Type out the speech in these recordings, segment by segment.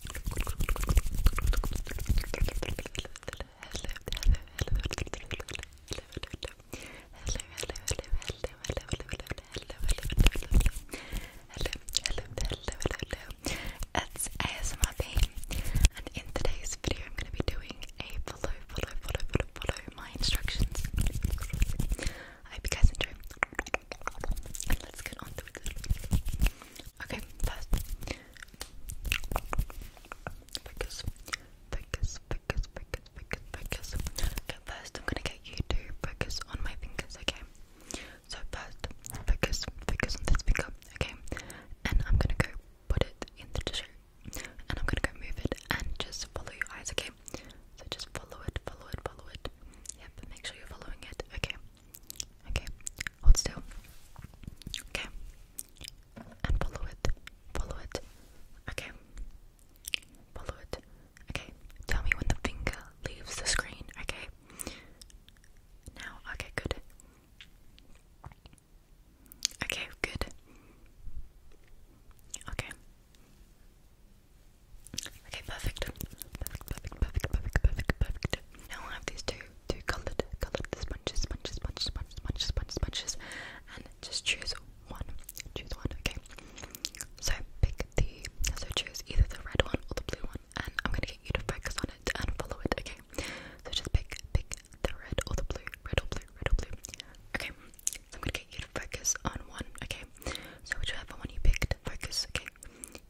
hello, it's ASMR Bean, and in today's video, I'm going to be doing a follow, follow, follow, follow, follow my instructions. I hope you guys enjoy, and let's get on to it. Okay, fast. Focus, focus, focus, focus, focus, focus. Okay, first I'm gonna get you to focus on my fingers, okay? So first, focus, focus on this finger, okay? And I'm gonna go put it in the tissue. And I'm gonna go move it and just follow your eyes, okay? So just follow it, follow it, follow it. Yep, make sure you're following it, okay? Okay, hold do? Okay, and follow it, follow it. Okay, follow it. Okay, tell me when the finger leaves the screen. Okay, now, okay, good. Okay, good. Okay. Okay, perfect. Perfect, perfect, perfect, perfect, perfect, perfect. Now I have these two two coloured coloured sponges, sponges, sponges, sponges, sponges, sponges, sponges, and just choose one. Choose one, okay. So pick the so choose either the red one or the blue one and I'm gonna get you to focus on it and follow it, okay? So just pick pick the red or the blue, red or blue, red or blue. Okay. So I'm gonna get you to focus on one, okay? So whichever one you picked, Focus, okay?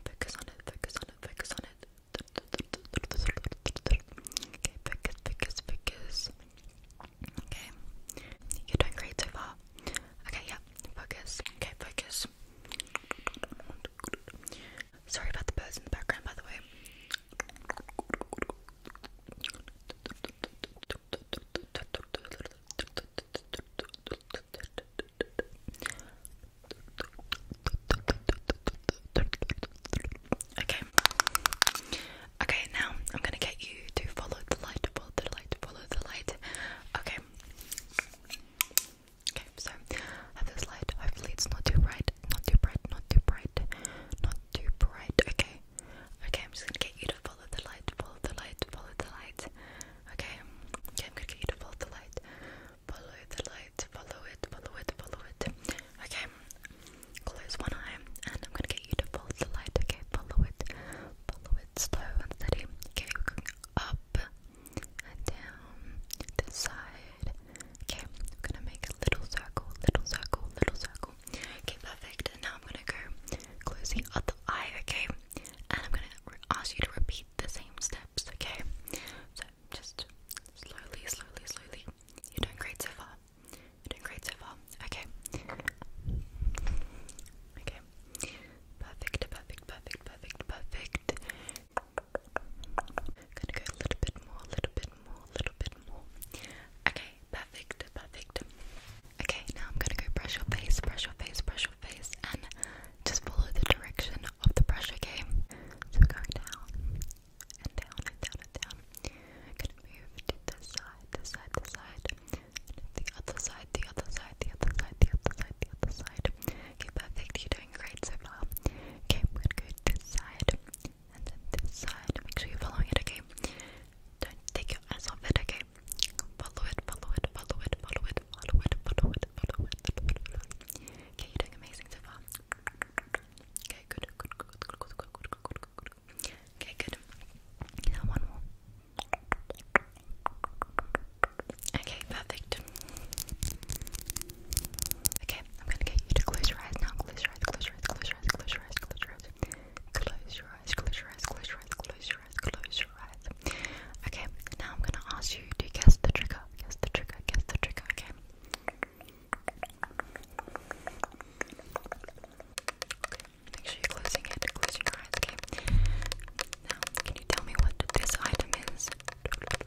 Focus on it, focus on it, focus on it. Okay, focus, focus, focus. Okay. You're doing great so far. Okay, yeah, focus. Okay, focus. Sorry about the birds in the background, by the way. Okay. Okay, now I'm gonna get you to follow the light, follow the light, follow the light. Okay. Okay, so this light. Hopefully it's not too bright, not too bright, not too bright, not too bright. Okay. Okay, I'm just gonna get you to follow the light, follow the light, follow the light. Okay. Okay, I'm gonna get you to follow the light. Follow the light. Follow it. Follow it. Follow it. Okay. Close one eye, and I'm gonna get you to follow the light. Okay, follow it. Follow it slow and steady. Okay, up and down this side. Okay, I'm gonna make a little circle, little circle, little circle. Okay, perfect. And now I'm gonna go close the other eye. Okay and I'm gonna ask you to repeat the same steps, okay? So just slowly, slowly, slowly. You're doing great so far. You're doing great so far. Okay. Okay. Perfect, perfect, perfect, perfect, perfect. Gonna go a little bit more, a little bit more, a little bit more. Okay, perfect, perfect. Okay, now I'm gonna go brush your face, brush your face, brush your face, and just follow the direction of the brush, okay? So go down and down and down and down. gonna move to this side, this side, this side, the other side, the other side, the other side, the other side, the other side. Okay, perfect, you're doing great so far. Okay, we're gonna go this side and then this side. Make sure you're following it, okay? Don't take your eyes off it, okay? Follow it, follow it, follow it, follow it, follow it, follow it, follow it, follow it. Okay, you're doing amazing so far. Okay, good, good, good, good, good, good, good, good, good, good. Okay, good. one more. Okay, perfect. Okay, I'm gonna get you to close your eyes now. close your eyes, close your eyes, close your eyes, close your eyes, close your eyes, close your eyes, close your eyes, close your eyes, close your close your eyes. Okay, now I'm gonna ask you to guess the trigger. Guess the trigger, guess the trigger, okay? make sure you're closing it, closing your eyes, okay? Now, can you tell me what this item is? Okay, it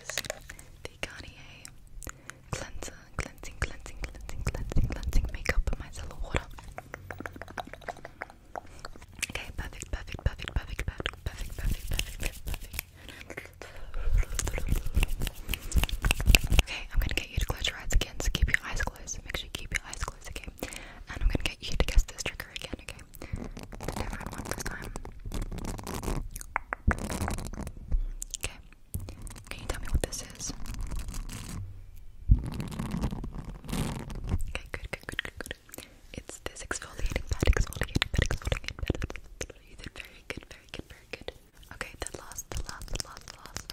was the Garnier cleanser, cleansing, cleansing, cleansing, cleansing, cleansing makeup and micellar water. Okay, perfect, perfect, perfect, perfect, perfect, perfect, perfect, perfect, perfect. Okay, I'm gonna get you to close your eyes again, so keep your eyes closed. Make sure you keep your eyes closed, okay? And I'm gonna get you to guess this trigger again, okay? Different one this time. Okay, can you tell me what this is? Okay, good, good, good, good, good. It's this exfoliating pad, exfoliating pad, exfoliating pad. You did very good, very good, very good. Okay, the last, the last, last, last,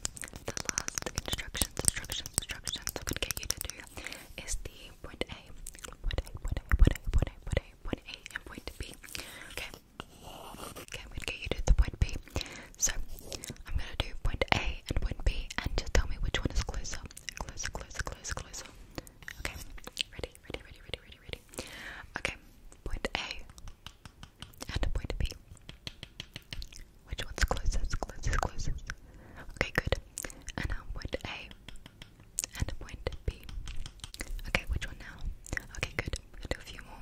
the last instructions, instructions, instructions I'm gonna get you to do is the point A, point A, point A, point A, point A, point A, point A, and point B. Okay, Okay, i get you to the point B. So I'm gonna do point A and point B, and just tell me which one is closer. Closer, closer, closer, Okay, ready, ready, ready, ready, ready, ready. Okay, point A and point B. Which one's closest? Closest, closest. Okay, good. And now point A and point B. Okay, which one now? Okay, good. We're do a few more.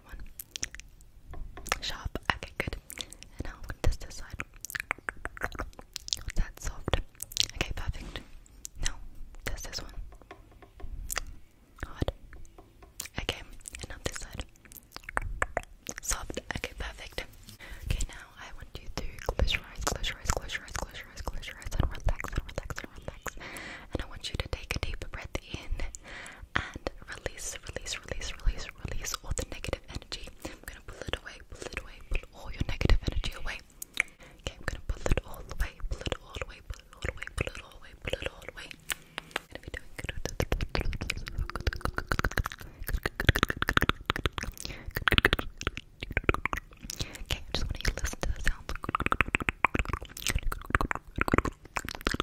that one. Sharp. Okay, good. And now I'm gonna test this side. That's soft. Okay, perfect. Now test this one. Hard. Okay, and up this side. Soft. Okay, perfect. Okay, now I want you to close your eyes, close your eyes, close your eyes, close your eyes, close your eyes, and relax, and relax, and relax. And I want you to take a deep breath in and release, release, release, release, release all the negative energy. I'm gonna pull it away, pull it away, pull all your negative energy away. Okay, I'm gonna pull it all away, pull it all away, pull it all away, pull it all away, pull it all away. i Okay, just want you listen to the sound.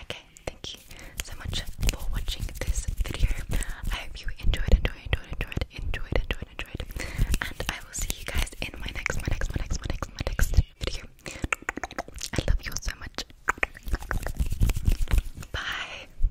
Okay, thank you so much for watching this video. I hope you enjoyed, enjoyed, enjoyed, enjoyed, enjoyed, enjoyed, enjoyed. And I will see you guys in my next, my next, my next, my next, my next video. I love you so much. Bye.